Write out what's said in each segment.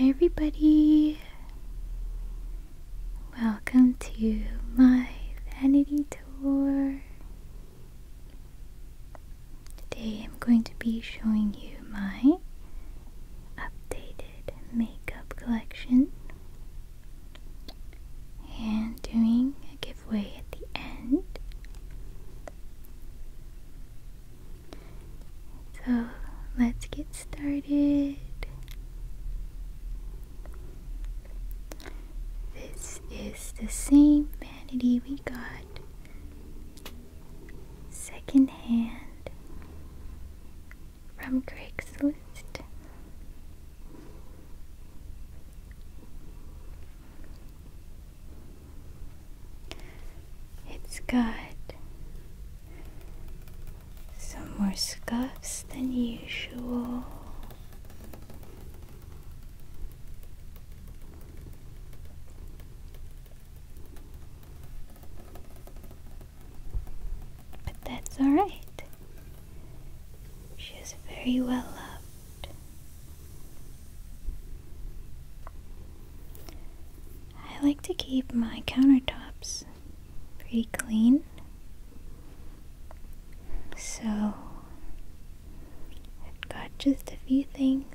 Hi, everybody. Welcome to my vanity tour. Today I'm going to be showing you my updated makeup collection and doing a giveaway at the end. So let's get started. This is the same vanity we got secondhand from Craigslist. It's got some more scuffs than usual. But that's alright. She is very well loved. I like to keep my countertops pretty clean. So, I've got just a few things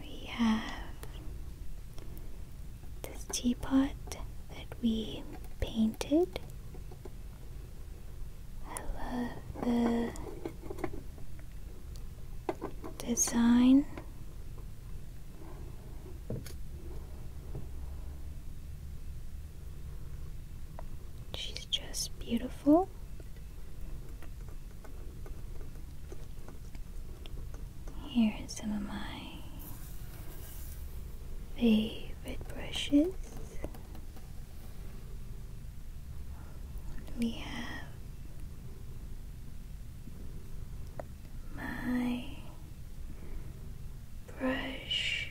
we have this teapot that we painted. I love the design. She's just beautiful. Here are some of my favorite brushes. We have my brush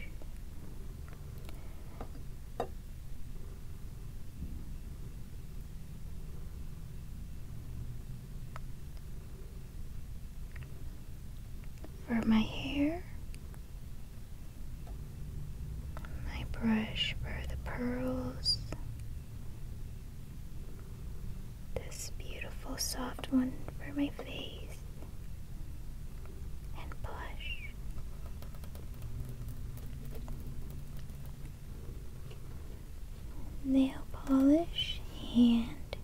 for my hair, my brush for the pearls, this beautiful soft one for my face, and blush nail polish and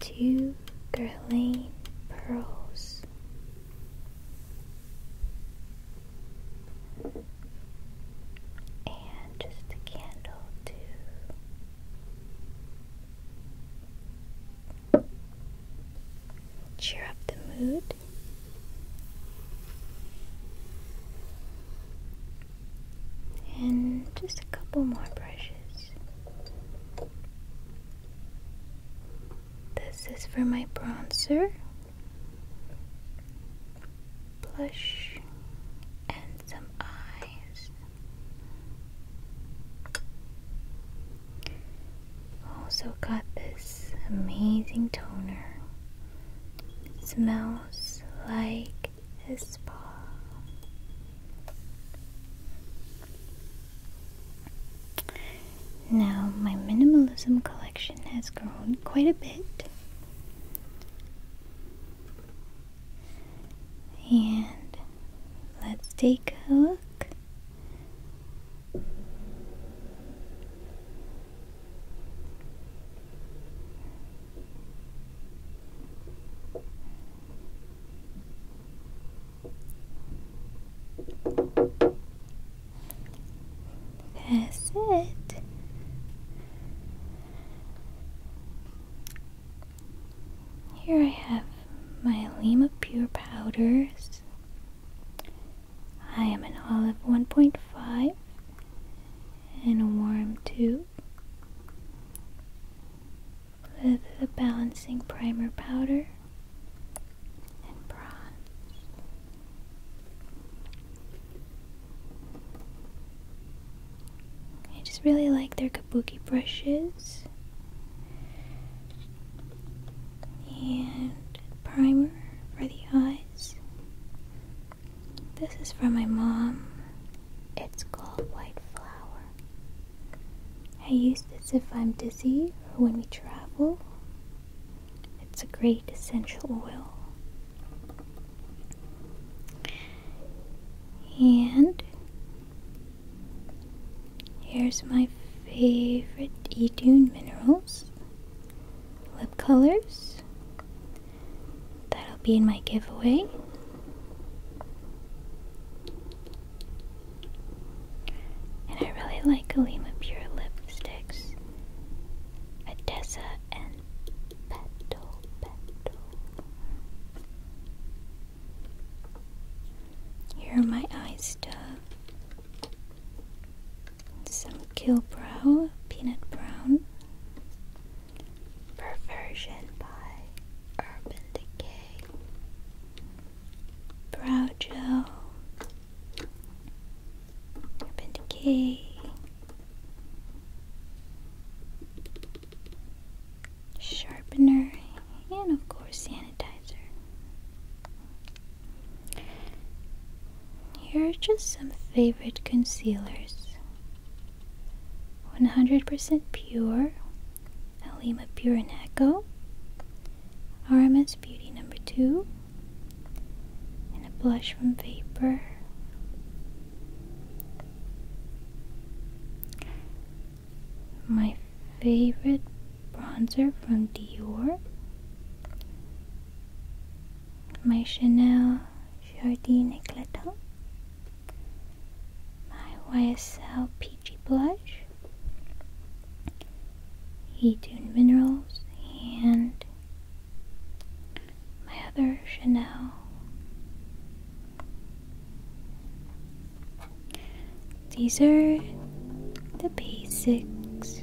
two girling pearls. And just a candle, too cheer up the mood. And just a couple more brushes. This is for my bronzer, blush, and some eyes. Also got this amazing toner. smells like a spa. Now my minimalism collection has grown quite a bit. And let's take a look that's it. Here I have my Lima Pure powders I am an olive 1.5 and a warm 2 with the balancing primer powder and bronze. I just really like their kabuki brushes and primer for the eyes. This is from my mom. It's called White Flower. I use this if I'm dizzy or when we travel. It's a great essential oil. And Here's my favorite Etude minerals lip colors. That'll be in my giveaway. And I really like Alima Pure lipsticks. Odessa and Petal Petal. Here are my eyes. stuff. Some Kill Brow, Peanut Brown. Perversion by Urban Decay. Brow Gel. Urban Decay. Sharpener. And of course, sanitizer. Here are just some favorite concealers 100% Pure, Alima Pure RMS Beauty number 2, and a blush from Vapor. My favorite bronzer from Dior. My Chanel Jardin Eclatant. My YSL Peachy Blush. Etune Minerals. And my other Chanel these are the basics.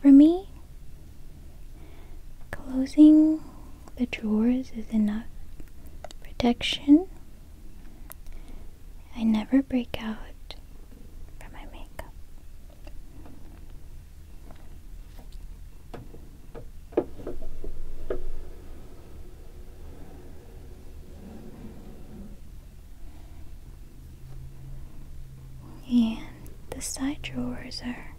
For me, closing the drawers is enough protection. I never break out for my makeup. And the side drawers are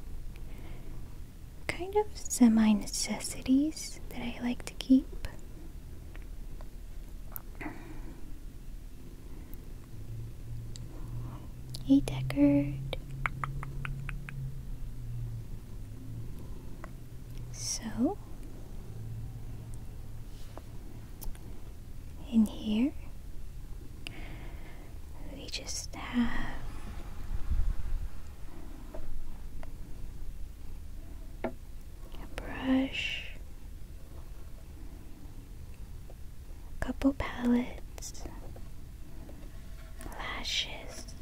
kind of semi necessities that I like to keep. Hey, so, in here, we just have a brush, a couple palettes lashes,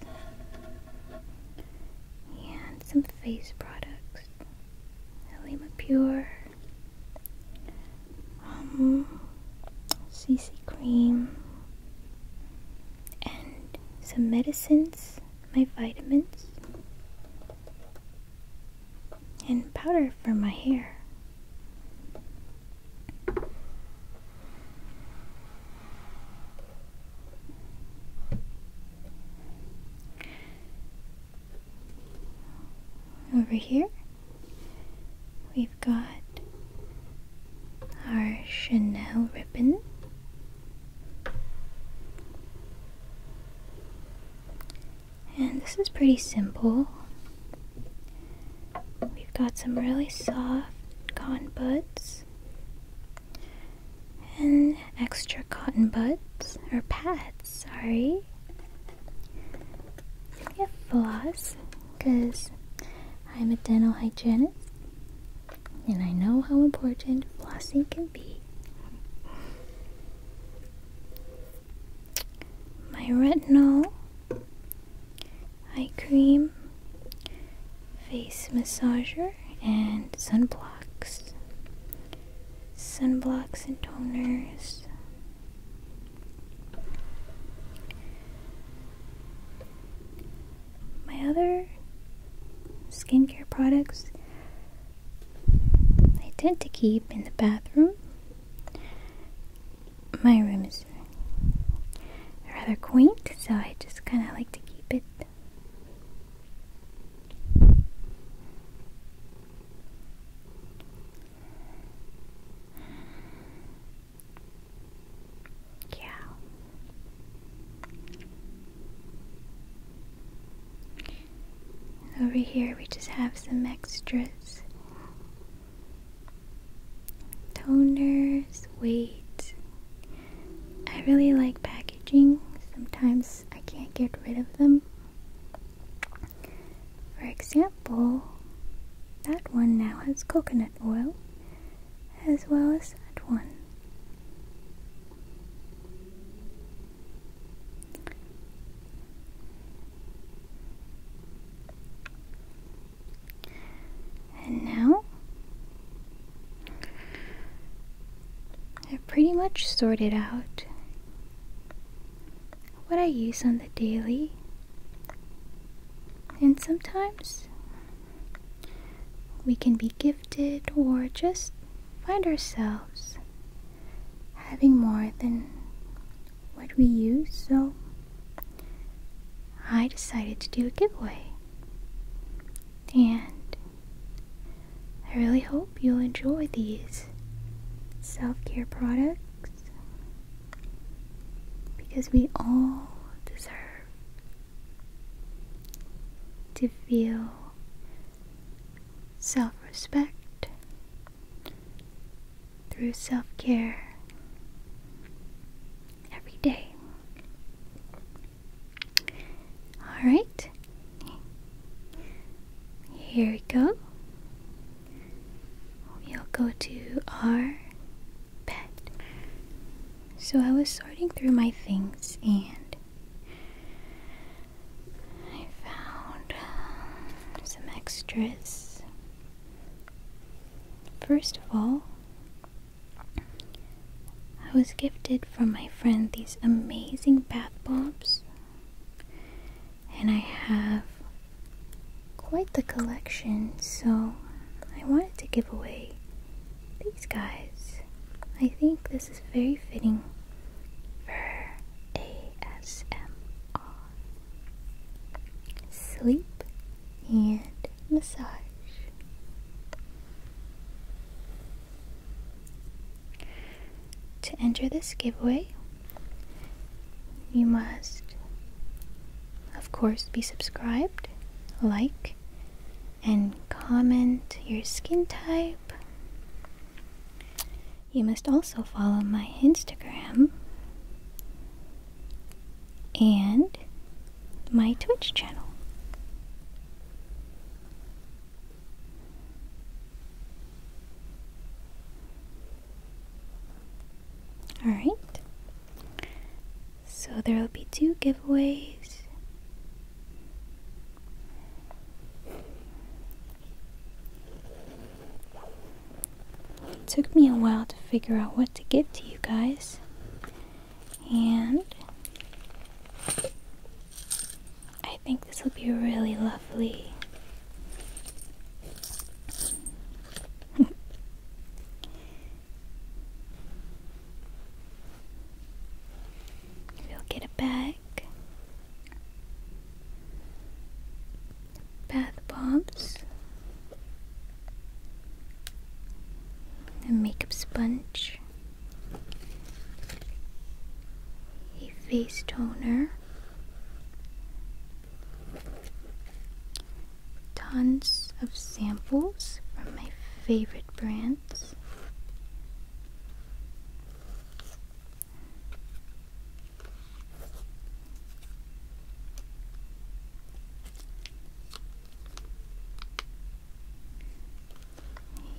and some face products. Halima Pure, um, CC cream, and some medicines, my vitamins, and powder for my hair. Over here, we've got our Chanel ribbon. And this is pretty simple. We've got some really soft cotton buds and extra cotton buds or pads, sorry. Yeah, floss, because I'm a dental hygienist and I know how important flossing can be. My retinol eye cream, face massager, and sunblocks. Sunblocks and toners. My other skincare products I tend to keep in the bathroom. My room is is rather quaint, so I just kind of like to keep it. Yeah. Over here, we just have some extras toners, weights, I really like packaging. Sometimes I can't get rid of them. For example, that one now has coconut oil as well as that one. And now I've pretty much sorted out what I use on the daily. And sometimes we can be gifted or just find ourselves having more than what we use, so I decided to do a giveaway. And I really hope you'll enjoy these self care products because we all deserve to feel self respect through self care every day. All right. Here we go. We'll go to our bed. So I was sorting through my things and I found um, some extras. First of all, I was gifted from my friend these amazing bath bombs, and I have quite the collection, so I wanted to give away these guys. I think this is very fitting for ASMR. Sleep and massage. To enter this giveaway, you must, of course, be subscribed, like, and comment your skin type. You must also follow my Instagram and my Twitch channel. Alright, so there will be two giveaways. It took me a while to figure out what to give to you guys and I think this will be really lovely. we'll get it back. Bath bombs. A makeup sponge, a face toner, tons of samples from my favorite brands.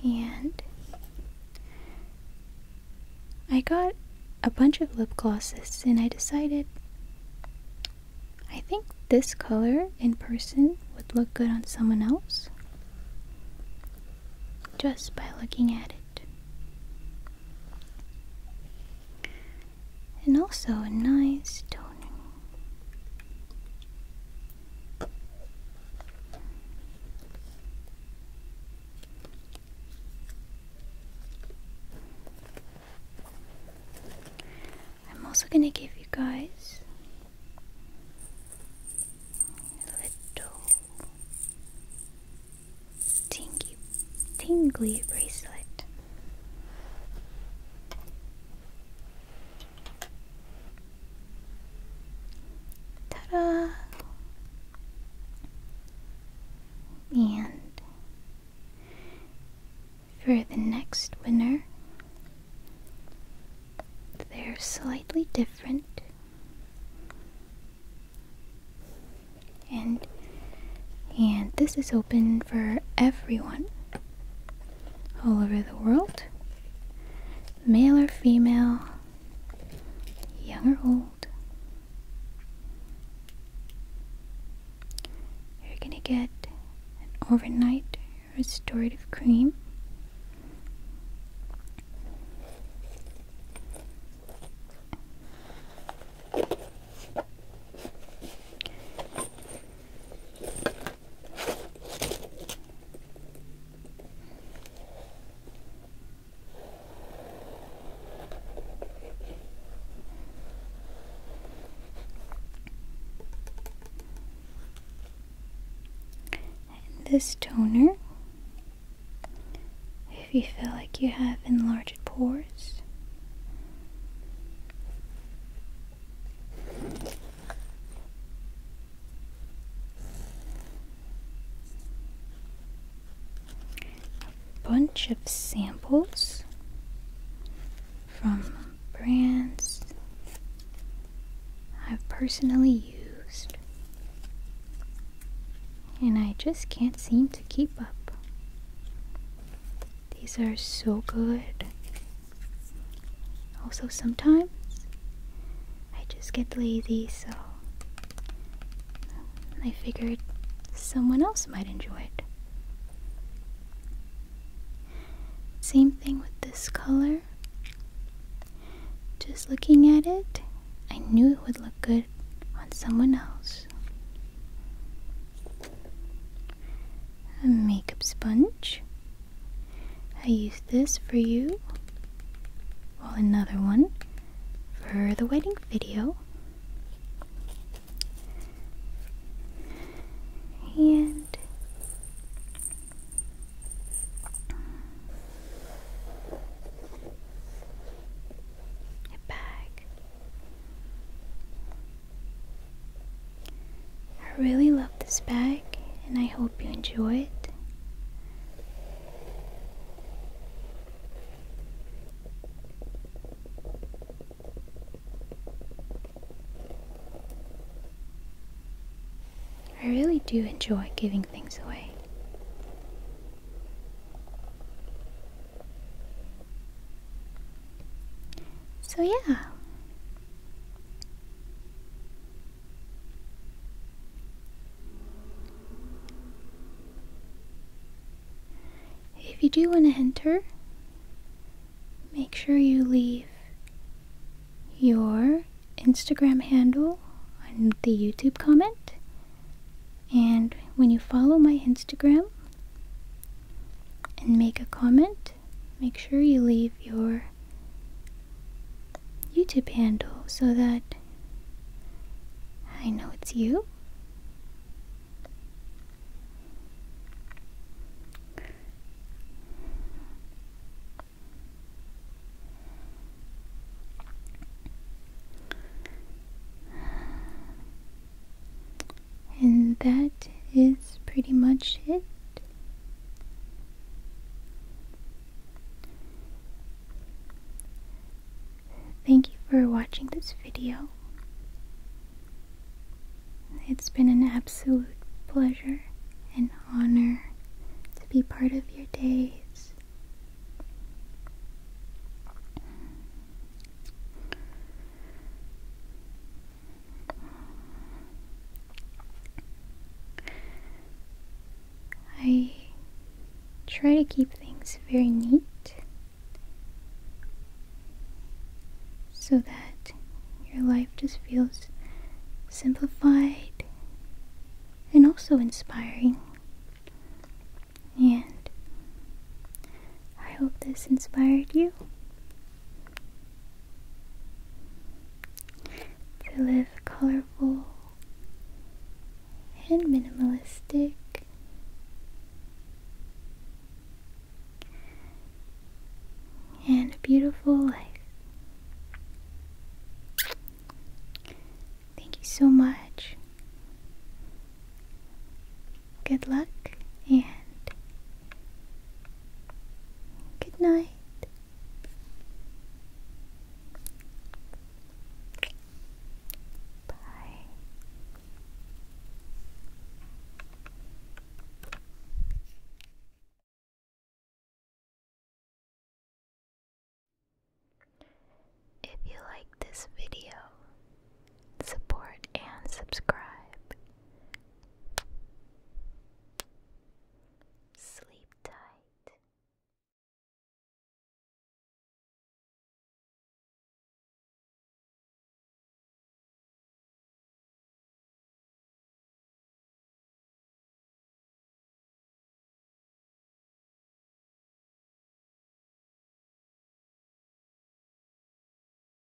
And I got a bunch of lip glosses and I decided I think this color in person would look good on someone else just by looking at it and also a nice toning. I'm also going to give you guys a little tingy, tingly bracelet. Ta-da! And for the next winner, they're slightly different. And and this is open for everyone all over the world, male or female, young or old. You're going to get an overnight restorative cream this toner, if you feel like you have enlarged pores, a bunch of samples from brands I've personally used, and I just can't seem to keep up. These are so good. Also, sometimes I just get lazy, so I figured someone else might enjoy it. Same thing with this color. Just looking at it, I knew it would look good on someone else a makeup sponge. I use this for you, while another one for the wedding video. And a bag. I really love this bag and I hope you enjoy it. I really do enjoy giving things away. So, yeah, if you do want to enter, make sure you leave your Instagram handle on the YouTube comment. And when you follow my Instagram and make a comment, make sure you leave your YouTube handle so that I know it's you. And that is pretty much it. Thank you for watching this video. It's been an absolute pleasure and honor to be part of your days. I try to keep things very neat so that your life just feels simplified and also inspiring. And I hope this inspired you to live colorful and minimalistic and a beautiful life. Thank you so much good luck and good night. Bye. If you like this video, support, and subscribe. Sleep tight.